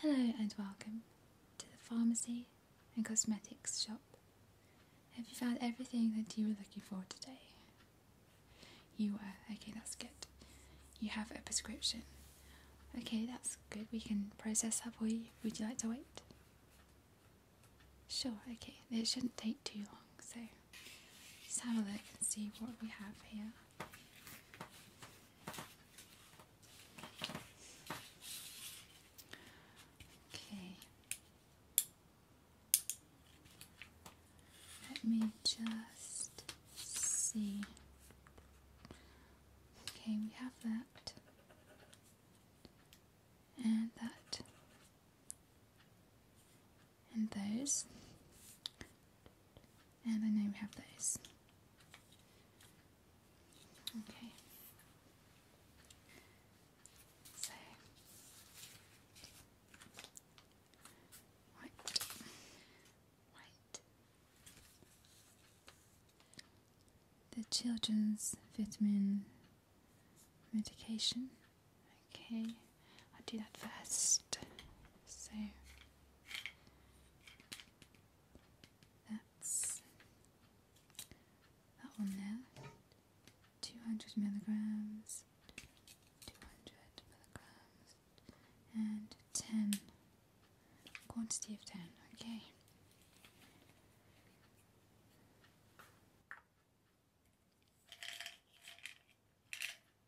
Hello and welcome to the pharmacy and cosmetics shop. Have you found everything that you were looking for today? You were. Okay, that's good. You have a prescription. Okay, that's good. We can process that for you. Would you like to wait? Sure, okay. It shouldn't take too long, so just have a look and see what we have here. Okay. Let me just see. Okay, we have that. And that. And those. And then I have those. Okay. So white, white. The children's vitamin medication. Okay, I'll do that first. So that's that one there. Two hundred milligrams, two hundred milligrams, and ten. Quantity of ten. Okay.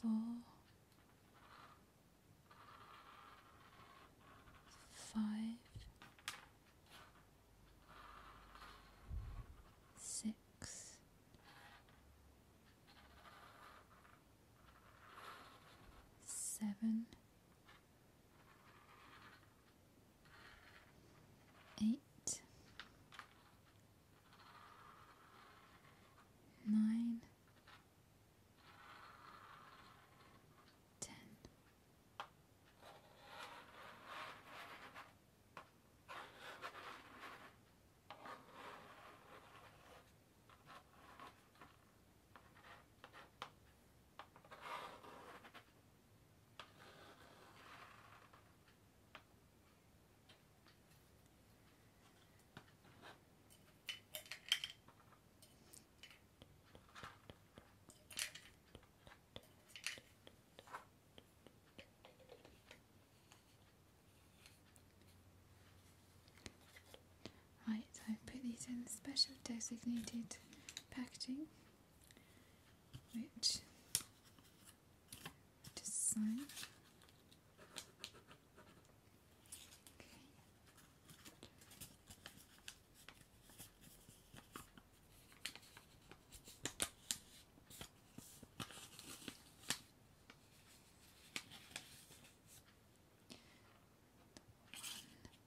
four, five, eight, nine, ten. Right, So, put these in special designated packaging which design okay. One,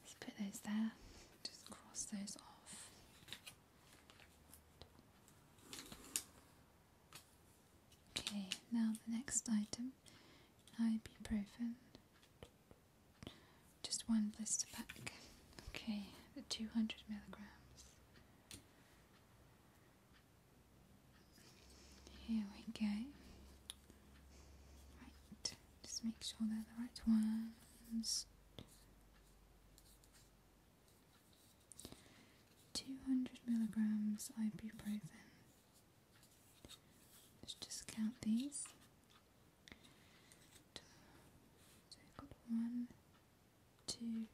let put those there, just cross those off. Okay, now the next item, ibuprofen. Just one blister pack. Okay, the 200 milligrams. Here we go. Right, just make sure they're the right ones. 200 milligrams ibuprofen. Let's just count these. So we've got one, two,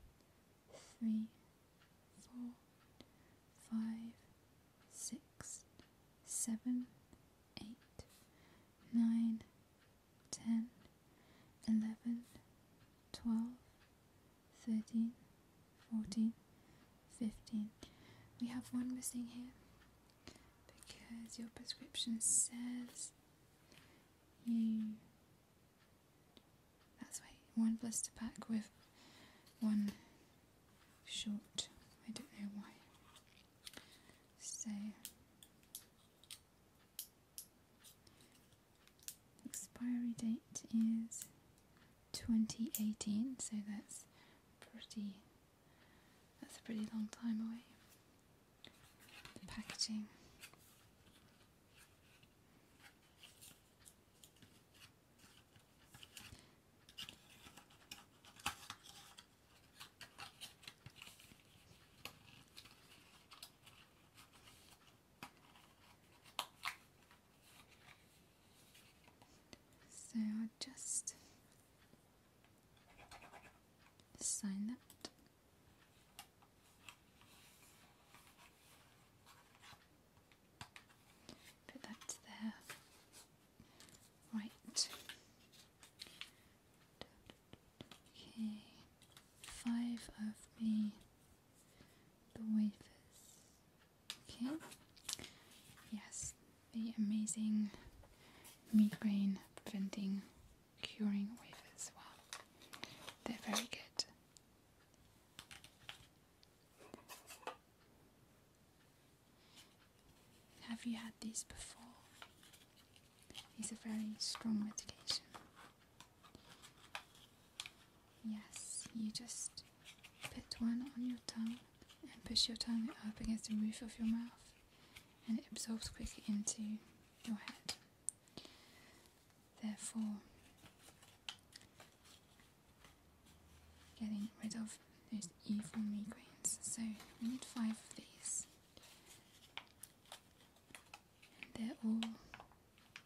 three, four, five, six, seven, eight, nine, 10, 11, 12, 13, 14, 15. We have one missing here because your prescription says you. That's right, one blister pack with one short. I don't know why. So. Expiry date is 2018, so that's pretty that's a pretty long time away. packaging. So just sign that. Put that there. Right. Okay, five of me. the wafers. Okay. Yes, the amazing migraine preventing curing wafers. Well, they're very good. Have you had these before? These are very strong medication. Yes, you just put one on your tongue and push your tongue up against the roof of your mouth, and it absorbs quickly into your head. Therefore, getting rid of those evil migraines. So, we need five of these. They're all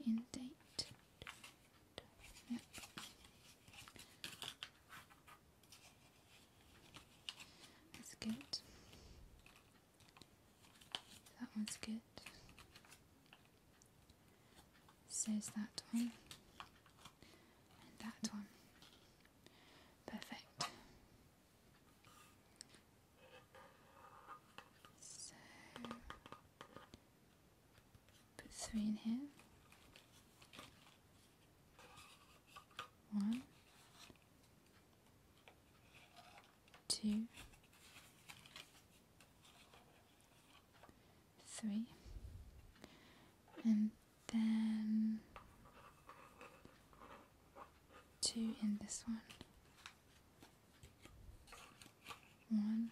in date. Yep. That's good. That one's good. Says that one. And that one. Perfect. So put three in here. One, two, three, and then two in this one, one,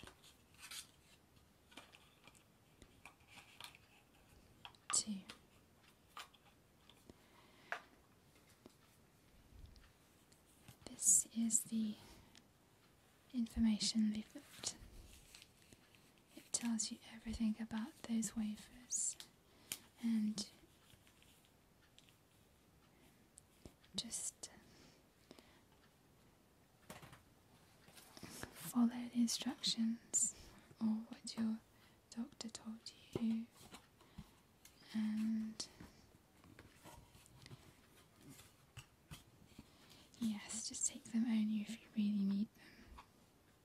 two. This is the information leaflet. It tells you everything about those wafers and just uh, follow the instructions or what your doctor told you and yes just take them only if you really need them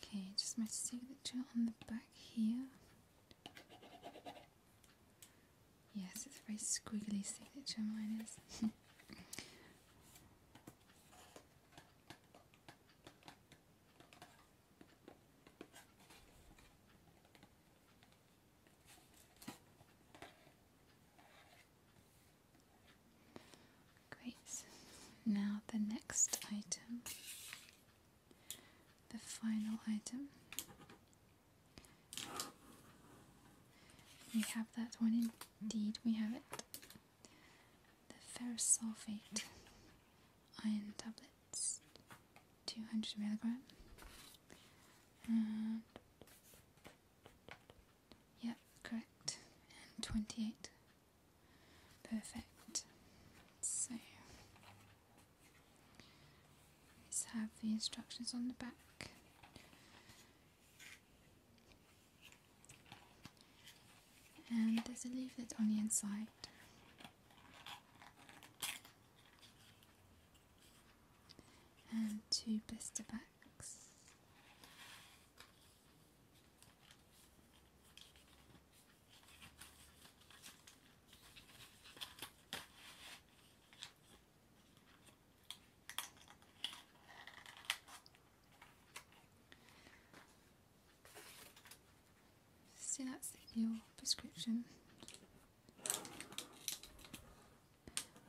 Okay, just my signature on the back here. Yes, it's a very squiggly signature, mine is. Great. Now the next item the final item. We have that one indeed, we have it. The ferrous sulfate iron tablets, 200 milligram. And yeah, correct. And 28 Perfect. So let's have the instructions on the back. And there's a leaflet on the inside. And two blister backs. So that's your prescription.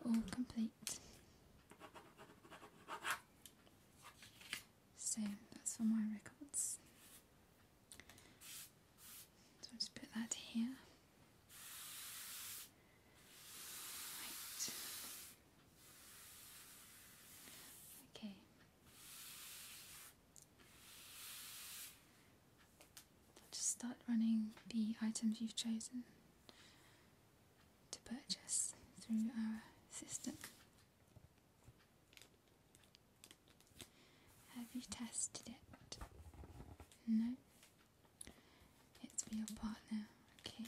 All complete. So that's for my records. So I'll just put that here. Okay. I'll just start running the items you've chosen to purchase through our system. Have you tested it? No? It's for your partner, okay?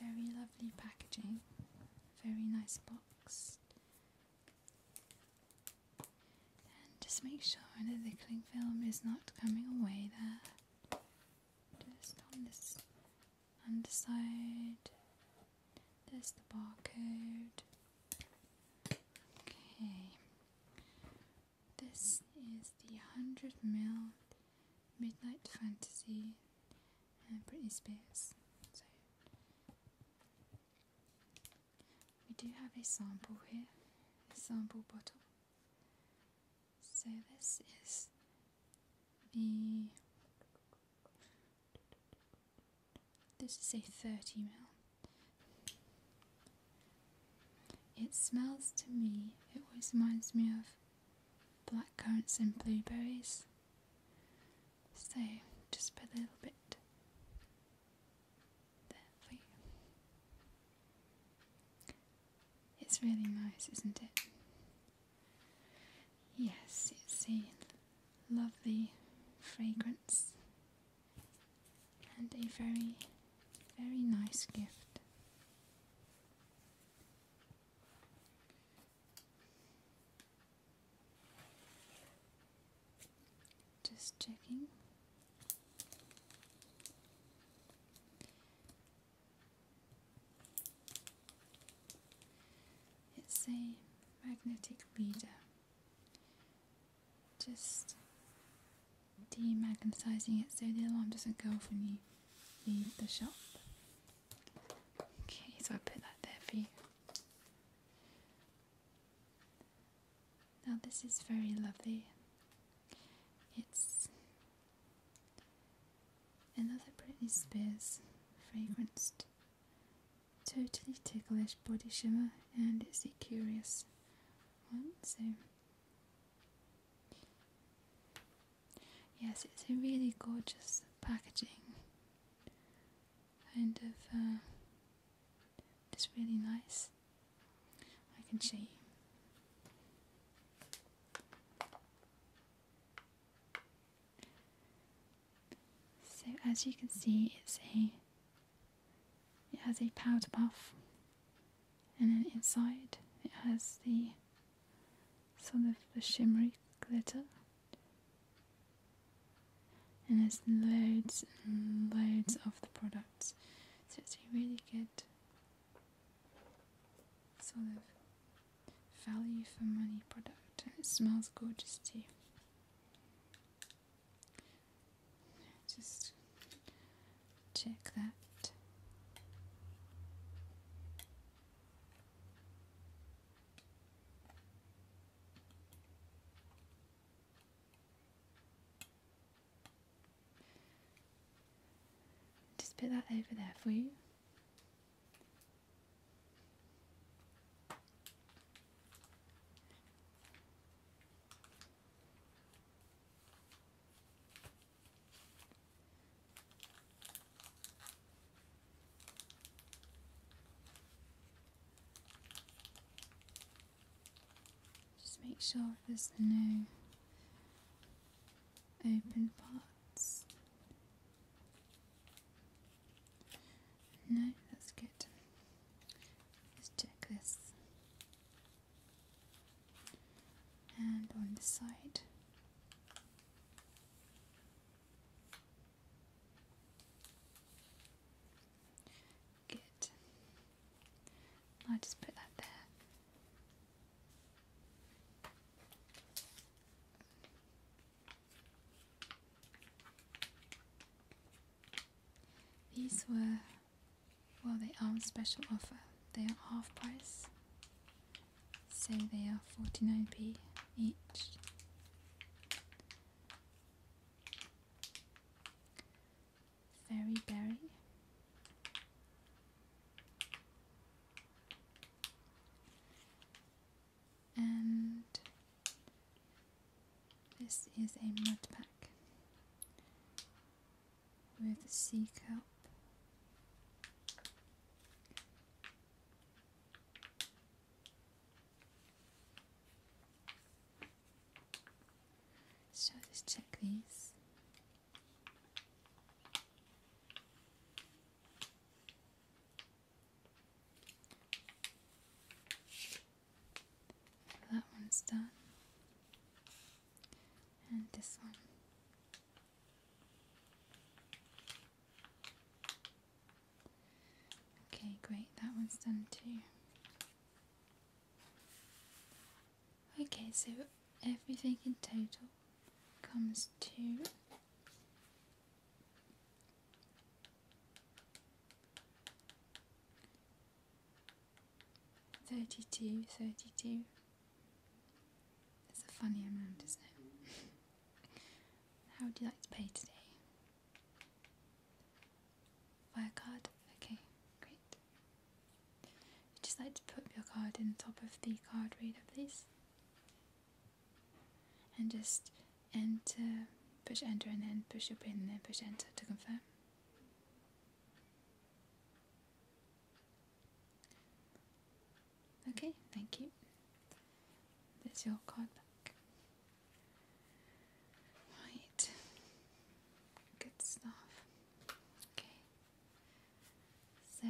Very lovely packaging, very nice box. And just make sure the cling film is not coming away there. Just on this underside. There's the barcode. Okay. This is the 100 mil Midnight Fantasy and uh, Britney Spears. We do have a sample here, a sample bottle. So this is the this is a 30 ml. It smells to me, it always reminds me of blackcurrants and blueberries. So just put a little bit it's really nice, isn't it? Yes, it's a lovely fragrance and a very, very nice gift. Just checking. It's a magnetic reader. just demagnetizing it so the alarm doesn't go off when you leave the shop. Okay, so I put that there for you. Now this is very lovely. It's another Britney Spears fragranced, totally ticklish body shimmer, and it's a curious one. So yes, it's a really gorgeous packaging, kind of. Uh, it's really nice. I can show you. So as you can see, it's a it has a powder puff, and then inside it has the sort of the shimmery glitter, and there's loads and loads of the products. So it's a really good sort of value for money product. And it smells gorgeous too. Just check that. Just put that over there for you. Just make sure there's no open parts. No, that's good. let check this. And on the side get. I just put that there. These were, well, they are not special offer. They are half price, so they are 49p each. Very Berry, and this is a mud pack with sea cup. So let's check these. That one's done, and this one. Okay, great, that one's done too. Okay, so everything in total comes to thirty-two, thirty-two. It's a funny amount, isn't it? How would you like to pay today? Via card? Okay, great. you just like to put your card in the top of the card reader, please? And just enter, push enter, and then push your pin, and then push enter to confirm. Okay, thank you. There's your card back. Right. Good stuff. Okay. So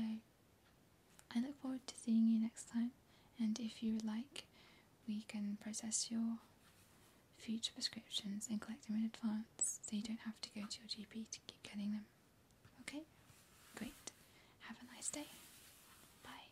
I look forward to seeing you next time and if you like we can process your future prescriptions and collect them in advance so you don't have to go to your GP to keep getting them. Okay? Great. Have a nice day. Bye.